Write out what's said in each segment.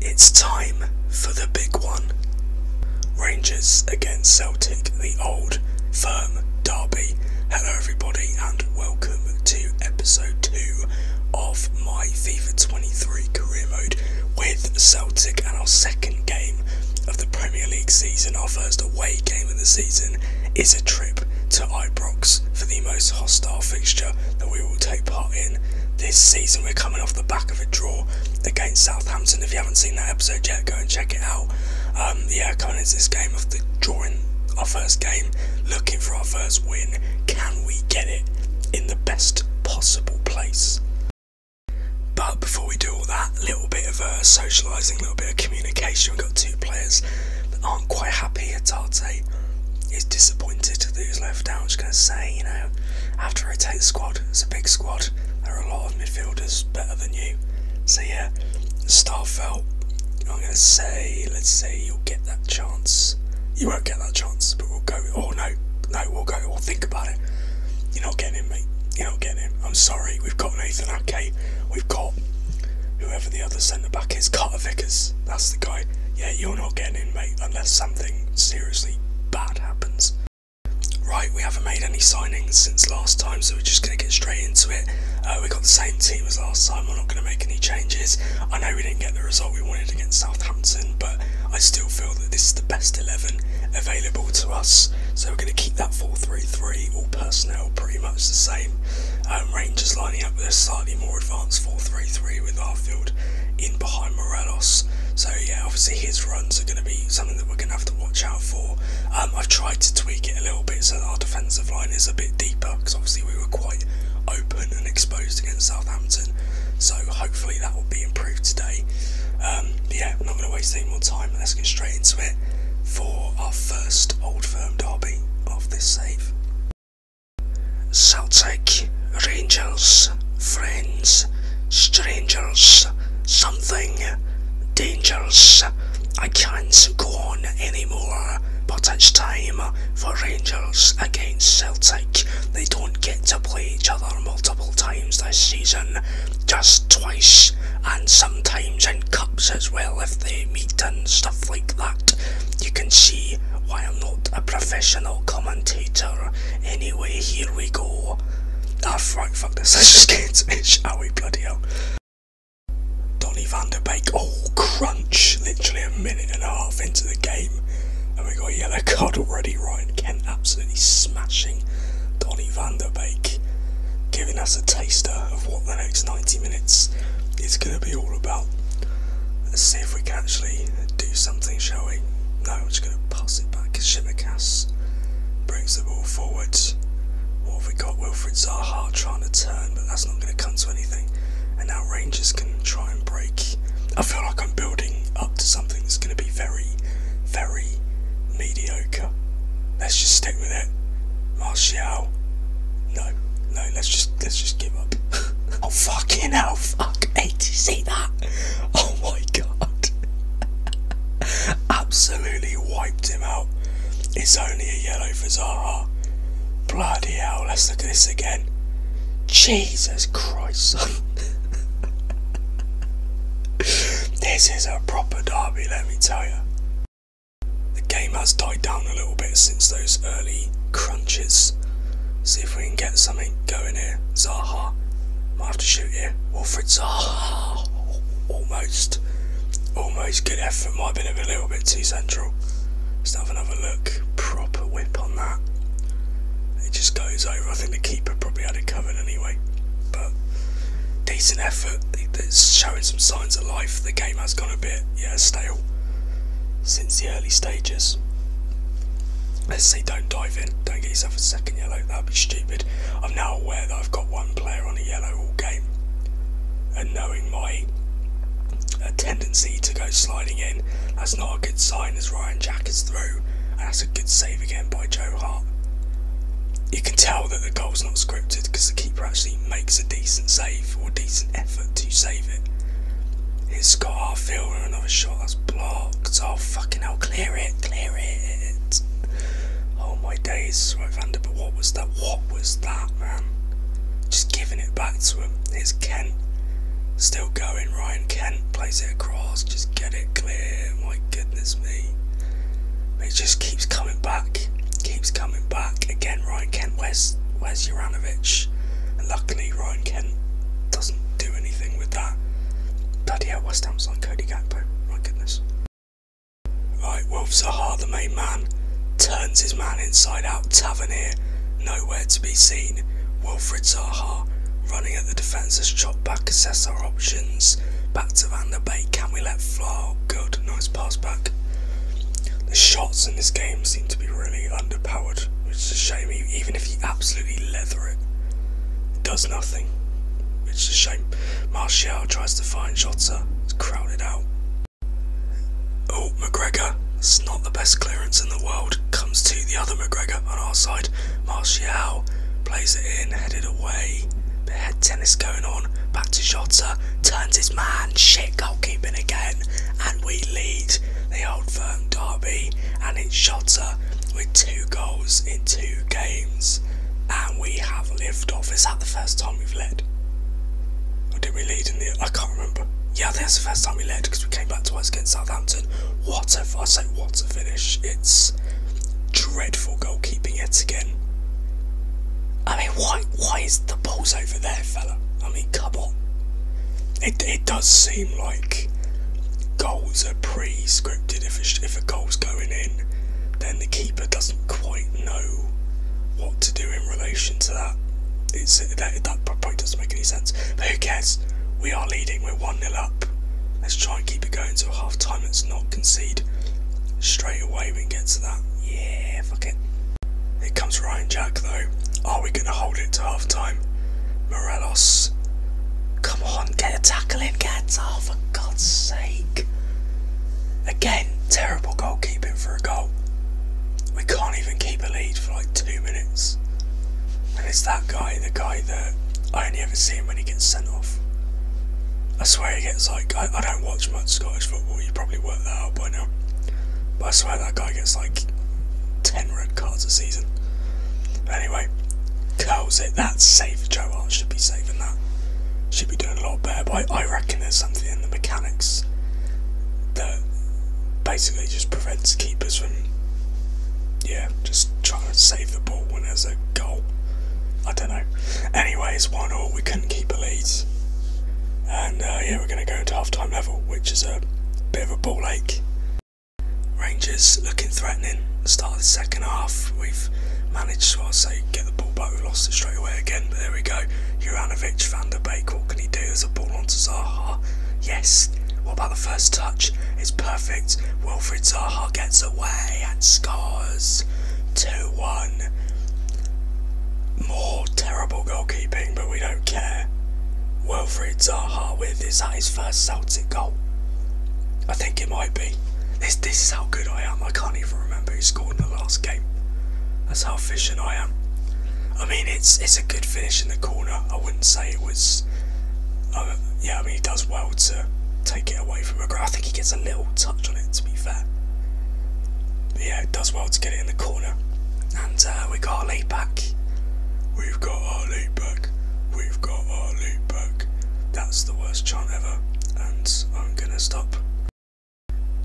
It's time for the big one. Rangers against Celtic, the old firm derby. Hello, everybody, and welcome to episode 2 of my FIFA 23 career mode with Celtic and our second game of the Premier League season. Our first away game of the season is a trip to Ibrox for the most hostile fixture that we will take part in this season. We're coming off the back of a draw against Southampton. If you haven't seen that episode yet, go and check it out. The um, yeah, is this game of the drawing our first game, looking for our first win. Can we get it in the best possible place? But before we do all that, little bit of uh, socialising, little bit of communication. We've got two players that aren't quite happy. Atarte is disappointed that he's left out. I'm just going to say, you know, I have to rotate the squad. It's a big squad. There are a lot of midfielders better than you. So yeah, Starfelt, I'm gonna say, let's say you'll get that chance. You won't get that chance, but we'll go. Oh no, no, we'll go. We'll think about it. You're not getting me. You're not getting him. I'm sorry. We've got Nathan Ake. We've got whoever the other centre back is, Carter Vickers that's the guy. Yeah, you're not getting in, mate, unless something seriously bad happens. Right, we haven't made any signings since last time, so we're just going to get straight into it. Uh, we got the same team as last time, we're not going to make any changes. I know we didn't get the result we wanted against Southampton, but I still feel that this is the best 11 available to us. So we're going to keep that 4-3-3, all personnel pretty much the same. Um, Rangers lining up with a slightly more advanced 4-3-3 with Arfield in behind Morelos. So yeah, obviously his runs are going to be something that we're going to have to watch out for. Um, I've tried to tweak it a little bit so that our defensive line is a bit deeper because obviously we were quite open and exposed against Southampton. So hopefully that will be improved today. Um, yeah, I'm not going to waste any more time. Let's get straight into it for our first Old Firm derby of this save. Celtic, Rangers, Friends, Strangers, Something, Dangers. I can't go on anymore, but it's time for Rangers against Celtic. They don't get to play each other multiple times this season, just twice, and sometimes in cups as well if they meet and stuff like that you can see why I'm not a professional commentator. Anyway, here we go. Ah, fuck, fuck this. Let's just get it, shall we? Bloody hell. Donny Vanderbeek. Oh, crunch. Literally a minute and a half into the game. And we got yellow card already. Ryan Kent absolutely smashing Donny Vanderbeek, Giving us a taster of what the next 90 minutes is going to be all about. Let's see if we can actually do something, shall we? No, I'm just going to pass it back. Shimikas brings the ball forward. What have we got? Wilfred Zaha trying to turn, but that's not going to come to anything. And now Rangers can try and break. I feel like I'm building up to something that's going to be very, very mediocre. Let's just stick with it. Martial. No, no, let's just let's just give up. Oh fucking hell, fuck. Hey, did you see that? Oh my god. Absolutely wiped him out. It's only a yellow for Bloody hell, let's look at this again. Jesus Christ, this is a proper derby, let me tell you. The game has died down a little bit since those early crunches. See if we can get something going here. Zaha. Might have to shoot here. Wilfred Zaha. Almost. Almost good effort. Might have been a little bit too central. Let's have another look. Proper whip on that. It just goes over. I think the keeper probably had it covered anyway. But decent effort. It's showing some signs of life. The game has gone a bit, yeah, stale since the early stages. Let's say don't dive in, don't get yourself a second yellow, that'd be stupid. I'm now aware that I've got one player on a yellow all game, and knowing my uh, tendency to go sliding in, that's not a good sign as Ryan Jack is through, and that's a good save again by Joe Hart. You can tell that the goal's not scripted because the keeper actually makes a decent save for decent effort to save it. It's Scott Arfield with another shot that's blocked. Oh, fucking I'll clear it, clear it. Oh my days, right, under. but what was that? What was that, man? Just giving it back to him. It's Kent. Still going, Ryan Kent plays it across. Just get it clear. My goodness me. It just keeps coming back. Keeps coming back. Again, Ryan Kent, West where's Juranovic? luckily, Ryan Kent doesn't do anything with that. Bloody hell, West Ham's on Cody Gakpo. My goodness. Right, Wolf Zaha, the main man, turns his man inside out. Tavernier, nowhere to be seen. Wilfred Zaha running at the defenders, has chopped back, assess our options. Back to Van der Beek, can we let fly? good, nice pass back. The shots in this game seem to be really under underpowered, which is a shame. Even if you absolutely leather it, it does nothing, It's a shame. Martial tries to find Jota, it's crowded out. Oh, McGregor, it's not the best clearance in the world, comes to the other McGregor on our side. Martial plays it in, headed away. Bit head tennis going on, back to Jota, turns his man, shit goalkeeping again, and we lead the old firm Derby and its her with two goals in two games. And we have lived off. Is at the first time we've led? Or did we lead in the. I can't remember. Yeah, that's the first time we led because we came back to us against Southampton. What a. I say, what a finish. It's dreadful goalkeeping yet again. I mean, why, why is the balls over there, fella? I mean, come on. It, does seem like goals are pre-scripted. If a, goal's going in, then the keeper doesn't quite know what to do in relation to that. It that, probably doesn't make any sense. But who cares? We are leading. We're 1-0 up. Let's try and keep it going until half-time. Let's not concede straight away. We can get to that. Yeah, fuck it comes Ryan Jack though. Are we going to hold it to half time? Morelos. Come on, get a tackle in, get a for God's sake. Again, terrible goalkeeping for a goal. We can't even keep a lead for like two minutes. And it's that guy, the guy that I only ever see him when he gets sent off. I swear he gets like, I, I don't watch much Scottish football, you probably worked that out by now. I swear that guy gets like 10 red cards a season. Anyway, curls it. That's safe. Joe Hart should be saving that. Should be doing a lot better. But I, reckon there's something in the mechanics that basically just prevents keepers from, yeah, just trying to save the ball when there's a goal. I don't know. Anyways, one all, we couldn't keep a lead. And uh, yeah, we're going to go into half time level, which is a bit of a ball ache. Rangers looking threatening. Start of the second half, we've managed to, I'd say, get the ball back. We lost it straight away again, but there we go. Juranovic, Van der Beek, what can he do? There's a ball onto Zaha. Yes. What about the first touch? It's perfect. Wilfred Zaha gets away and scores 2 1 more terrible goalkeeping, but we don't care. Wilfried Zaha with, is that his first Celtic goal? I think it might be. This, this is how good I am, I can't even remember who scored in the last game. That's how efficient I am. I mean, it's it's a good finish in the corner. I wouldn't say it was... Uh, yeah, I mean, he does well to take it away from McGrath. I think he gets a little touch on it, to be fair. yeah, it does well to get it in the corner and uh, we got our lead back. We've got our lead back. We've got our lead back. That's the worst chant ever, and I'm gonna stop.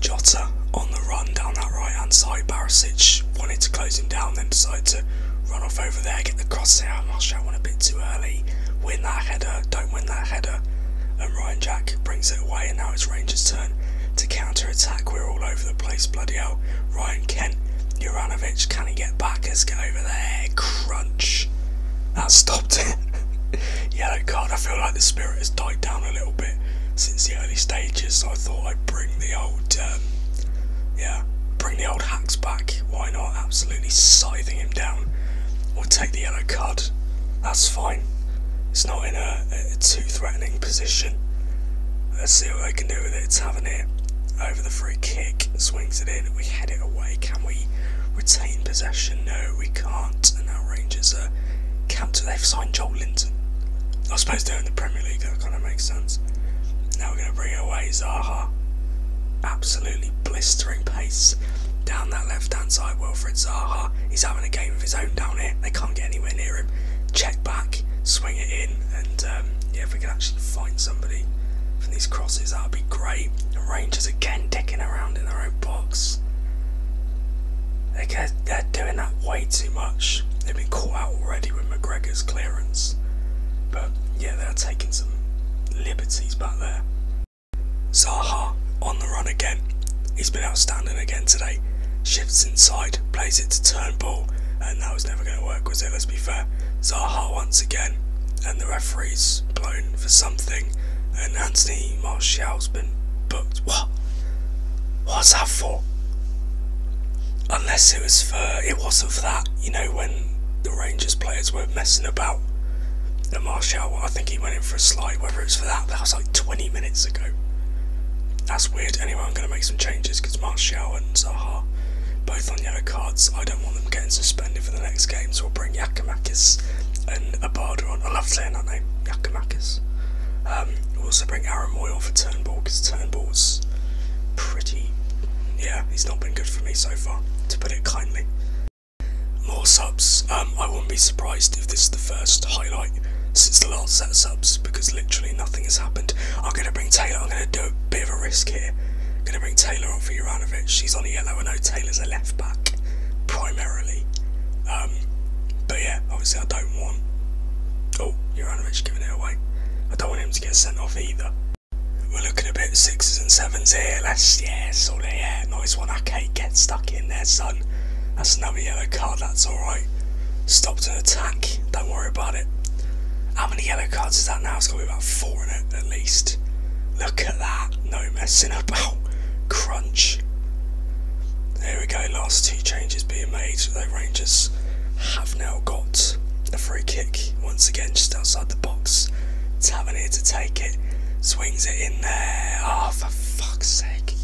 Jota on the run down that right hand side. Barisic wanted to close him down, then decided to run off over there, get the cross out. I Marshall one a bit too early. Win that header, don't win that header. And Ryan Jack brings it away, and now it's Rangers' turn to counter attack. We're all over the place. Bloody hell. Ryan Kent, Juranovic, can he get back? Let's get over there. Crunch. That stopped it. Yellow card. I feel like the spirit has died down a little bit since the early stages, I thought I'd bring the old, um, yeah, bring the old hacks back. Why not? Absolutely scything him down. We'll take the yellow card. That's fine. It's not in a, too threatening position. Let's see what they can do with it. It's having it over the free kick, swings it in, we head it away. Can we retain possession? No, we can't. And now Rangers are counter. They've signed Joel Linton. I suppose they're in the Premier League, that kind of makes sense. Now we're going to bring away Zaha. Absolutely blistering pace down that left hand side. Wilfred Zaha, he's having a game of his own down it. They can't get anywhere near him. Check back, swing it in, and um, yeah, if we can actually find somebody from these crosses, that would be great. And Rangers again digging around in their own box. They're, they're doing that way too much. They've been caught out already with McGregor's clearance. But yeah, they're taking some liberties back there. Zaha on the run again. He's been outstanding again today shifts inside, plays it to Turnbull, and that was never going to work, was it? Let's be fair. Zaha once again, and the referee's blown for something, and Anthony marshall has been booked. What? What's that for? Unless it was for, it wasn't for that, you know, when the Rangers players were messing about. And marshall I think he went in for a slide, whether it's for that, that was like 20 minutes ago. That's weird. Anyway, I'm going to make some changes because Mark Shaw and Zaha both on yellow cards. I don't want them getting suspended for the next game, so i will bring Yakamakis and Abada on. I love saying that name, Yakamakis. Um, we'll also bring Aaron Moy for Turnbull because Turnbull's pretty. Yeah, he's not been good for me so far, to put it kindly. More subs. Um, I wouldn't be surprised if this is the first highlight since the last set of subs because literally nothing has happened. I'm going to bring Taylor, I'm going to do a bit of a risk here. I'm going to bring Taylor on for Juranovic. She's on a yellow. I know Taylor's a left back primarily. Um, but yeah, obviously I don't want. Oh, Juranovic giving it away. I don't want him to get sent off either. We're looking a bit sixes and sevens here. Let's, yeah, sort of, yeah. Nice one. Okay, get stuck in there, son. That's another yellow card. That's alright stopped an attack, don't worry about it. How many yellow cards is that now? It's got to be about four in it at least. Look at that, no messing about. Crunch. There we go, last two changes being made. The Rangers have now got a free kick once again just outside the box. Tavernier to take it, swings it in there. Ah, oh, for fuck's sake.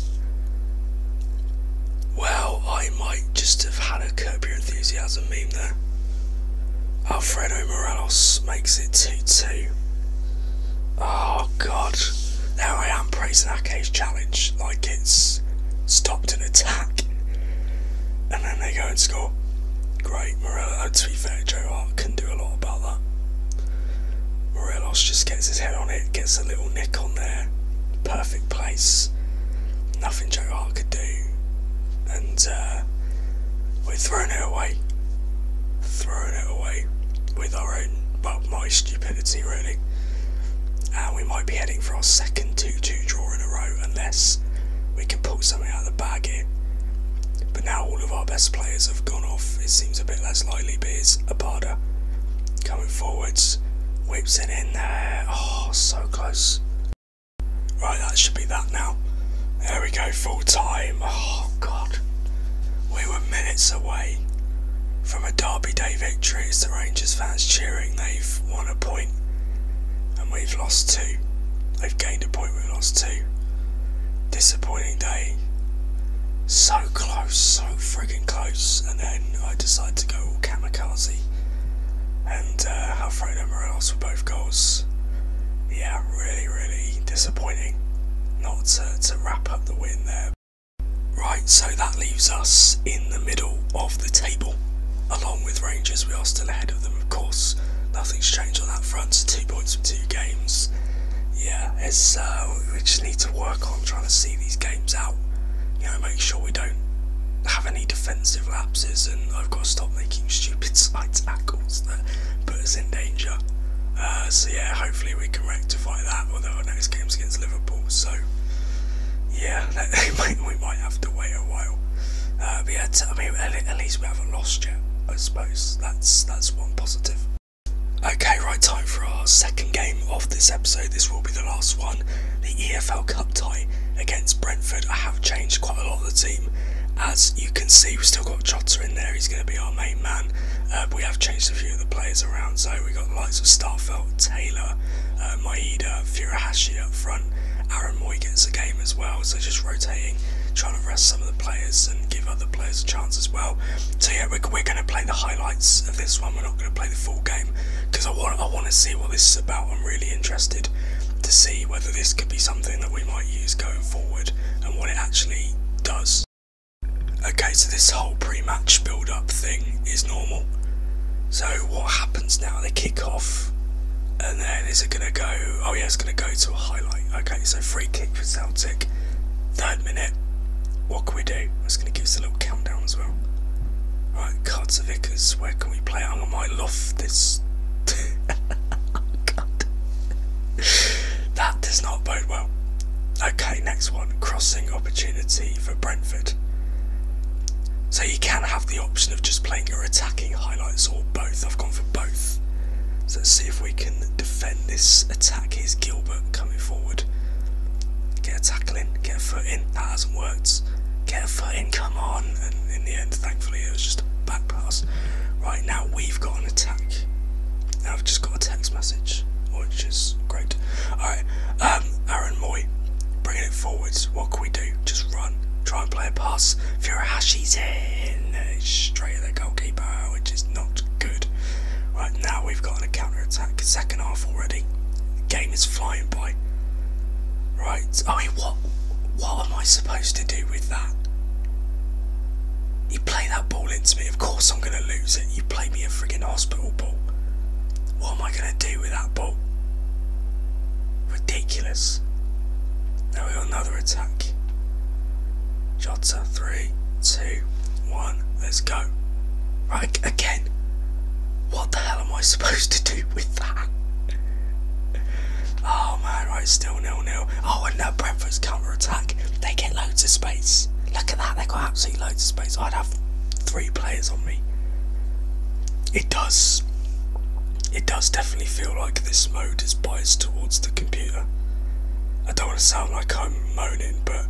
Well, I might just have had a Curb Your Enthusiasm meme there. Alfredo Morales makes it 2 2. Oh, God. Now I am praising Arcade's challenge like it's stopped an attack. And then they go and score. Great, Morello. Oh, to be fair, Joe Hart can do a lot about that. Morales just gets his head on it, gets a little nick on there, perfect place. Nothing Joe Hart could do, and uh, we're throwing it away, throwing it away with our own, but my stupidity really. And we might be heading for our second 2-2 draw in a row unless we can pull something out of the bag here. But now all of our best players have gone off. It seems a bit less likely, but it's a Abada, Coming forwards, whips it in there. Oh, so close. Right, that should be that now. There we go, full time. Oh, God. We were minutes away from a Derby Day victory. It's the Rangers fans cheering. They've won a point and we've lost two. They've gained a point, we've lost two. Disappointing day so close, so friggin' close, and then I decide to go all kamikaze and uh, Alfredo Morelos for both goals. Yeah, really, really disappointing not to, wrap up the win there. Right, so that leaves us in the middle of the table. Along with Rangers, we are still ahead of them, of course. Nothing's changed on that front, two points from two games. Yeah, uh, we just need to work on trying to see these games out. You know, make sure we don't have any defensive lapses, and I've got to stop making stupid side tackles that put us in danger. Uh, so yeah, hopefully we can rectify that. Although our next game's against Liverpool, so yeah, we might have to wait a while. Uh, but yeah, I mean, at least we haven't lost yet. I suppose that's that's one positive. Okay, right, time for our second game of this episode. This will be the last one. The EFL Cup tie against Brentford. I have changed quite a lot of the team. As you can see, we've still got Jota in there. He's going to be our main man. Uh, we have changed a few of the players around. So we've got the likes of Starfelt, Taylor, uh, Maeda, Furahashi up front. Aaron Moy gets a game as well. So just rotating, trying to rest some of the players and give other players a chance as well. So yeah, we're, we're going to play the highlights of this one. We're not going to play the full game because I want I want to see what this is about. I'm really interested to see whether this could be something that we might use going forward and what it actually does. Okay, so this whole pre-match build-up thing is normal. So what happens now? They kick off, and then is it going to go? Oh yeah, it's going to go to a highlight. Okay, so free kick for Celtic, third minute. What can we do? That's going to give us a little countdown as well. Right, cards where can we play? I might love this. That does not bode well. Okay, next one. Crossing opportunity for Brentford. So you can have the option of just playing your attacking highlights or both. I've gone for both. So let's see if we can defend this attack. Here's Gilbert coming forward. Get a tackle in, get a foot in. That hasn't worked. Get a foot in, come on. And in the end, thankfully, it was just a back pass. Right now, we've got an attack. Now I've just got a text message, which is great. Alright, um, Aaron Moy, bringing it forwards. What can we do? Just run. Try and play a pass. Furuhashi's in. straight at the goalkeeper, which is not good. Right now, we've got on counter-attack. Second half already. The game is flying by. Right, I mean, what, what am I supposed to do with that? You play that ball into me, of course I'm going to lose it. You play me a friggin' hospital ball. What am I going to do with that ball? Ridiculous. Now we got another attack. Shotter. Three, two, one. Let's go. Right again. What the hell am I supposed to do with that? Oh man, right, still nil nil. Oh, and now Brentford's counter attack. They get loads of space. Look at that. They have got absolutely loads of space. I'd have three players on me. It does. It does definitely feel like this mode is biased towards the computer. I don't want to sound like I'm moaning, but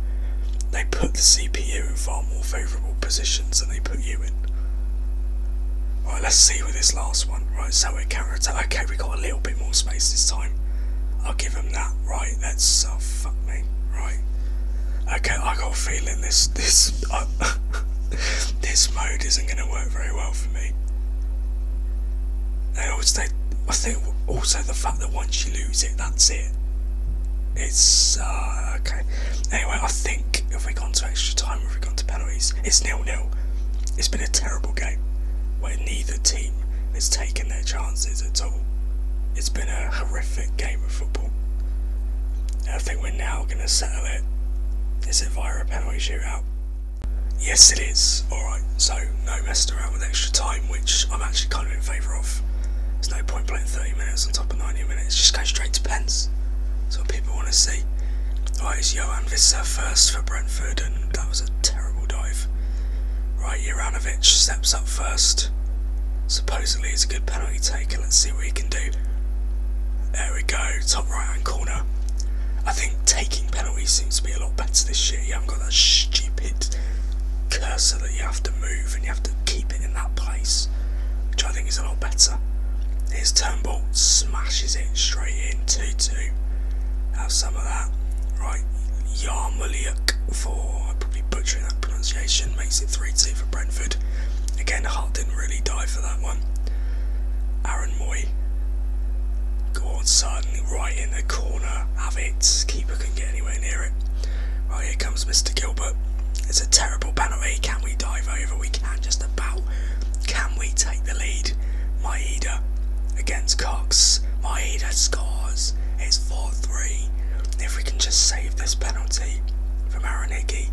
they put the CPU in far more favourable positions than they put you in. Right, let's see with this last one. Right, so we're counter attack. Okay, we have got a little bit more space this time. I'll give them that. Right, that's oh fuck me. Right. Okay, I got a feeling this this uh, this mode isn't going to work very well for me. They always I think also the fact that once you lose it, that's it. It's uh, okay. Anyway, I think if we gone to extra time, if we gone to penalties, it's nil nil. It's been a terrible game where neither team has taken their chances at all. It's been a horrific game of football. I think we're now going to settle it. Is it via a penalty shootout? Yes, it is. Alright, so no messing around with extra time, which I'm actually kind of in favour of. There's no point playing 30 minutes on top of 90 minutes. Just go straight to pens. That's people want to see. Right, it's Johan Visser first for Brentford, and that was a terrible dive. Right, Juranovic steps up first. Supposedly it's a good penalty taker. Let's see what he can do. There we go, top right hand corner. I think taking penalties seems to be a lot better this year. You haven't got that stupid cursor that you have to move and you have to keep it in that place, which I think is a lot better. Here's Turnbull, smashes it straight in, 2-2. Have some of that. Right, Yarmoliuk for, i probably butchered that pronunciation, makes it 3-2 for Brentford. Again, Hart didn't really die for that one. Aaron Moy, go on son, right in the corner. Have it. Keeper can get anywhere near it. Well, here comes Mr. Gilbert. It's a terrible penalty. Can we dive over? We can just about. Can we take the lead? Maeda against Cox. Maeda scores. It's 4 3. If we can just save this penalty from Aranigi,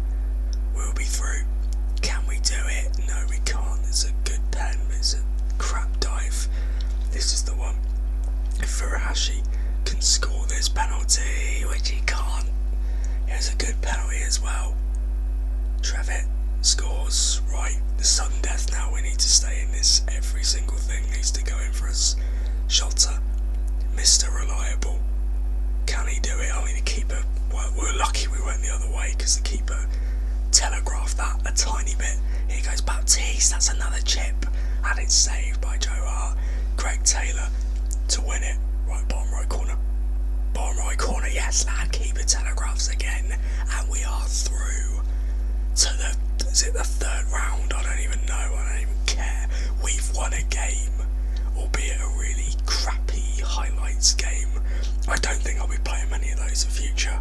we'll be through. Can we do it? No, we can't. It's a good penalty crap dive. This is the one. Furahashi can score this penalty, which he can't. Here's a good penalty as well. Trevitt scores. Right, the sudden death now. We need to stay in this. Every single thing needs to go in for us. Shota, Mr. Reliable. Can he do it? I mean, the keeper, well, we're lucky we went the other way because the keeper telegraphed that a tiny bit. He goes Baptiste. That's another chip. And it's saved by Joe Hart. Greg Taylor to win it. Right, bottom right corner. Bottom right corner. Yes, lad. Keeper telegraphs again. And we are through to the... Is it the third round? I don't even know. I don't even care. We've won a game. Albeit a really crappy highlights game. I don't think I'll be playing many of those in the future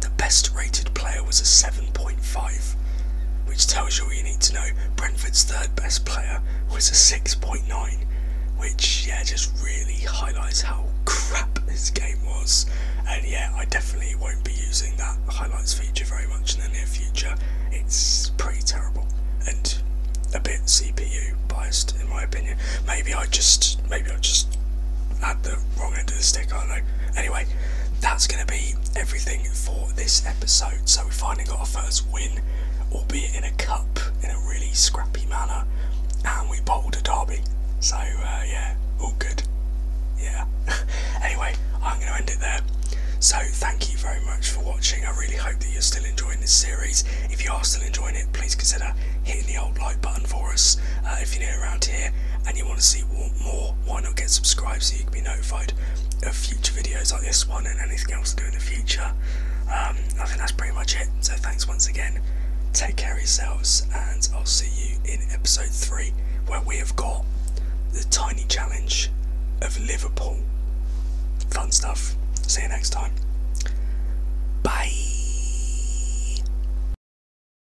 The best rated player was a 7.5, which tells you all you need to know. Brentford's third best player was a 6.9, which, yeah, just really highlights how crap this game was. And yeah, I definitely won't be using that highlights feature very much in the near future. It's pretty terrible and a bit CPU biased in my opinion. Maybe I just maybe I just had the wrong end of the stick, I know. Anyway, that's going to be everything for this episode. So we finally got our first win, albeit in a cup, in a really scrappy manner, and we bowled a derby. So uh, yeah, all good. Yeah. anyway, I'm going to end it there. So thank you very much for watching. I really hope that you're still enjoying this series. If you are still enjoying it, please consider hitting the old like button for us uh, if you're new around here and you want to see more why not get subscribed so you can be notified of future videos like this one and anything else to do in the future. Um, I think that's pretty much it. So thanks once again. Take care of yourselves, and I'll see you in episode three, where we have got the tiny challenge of Liverpool. Fun stuff. See you next time. Bye.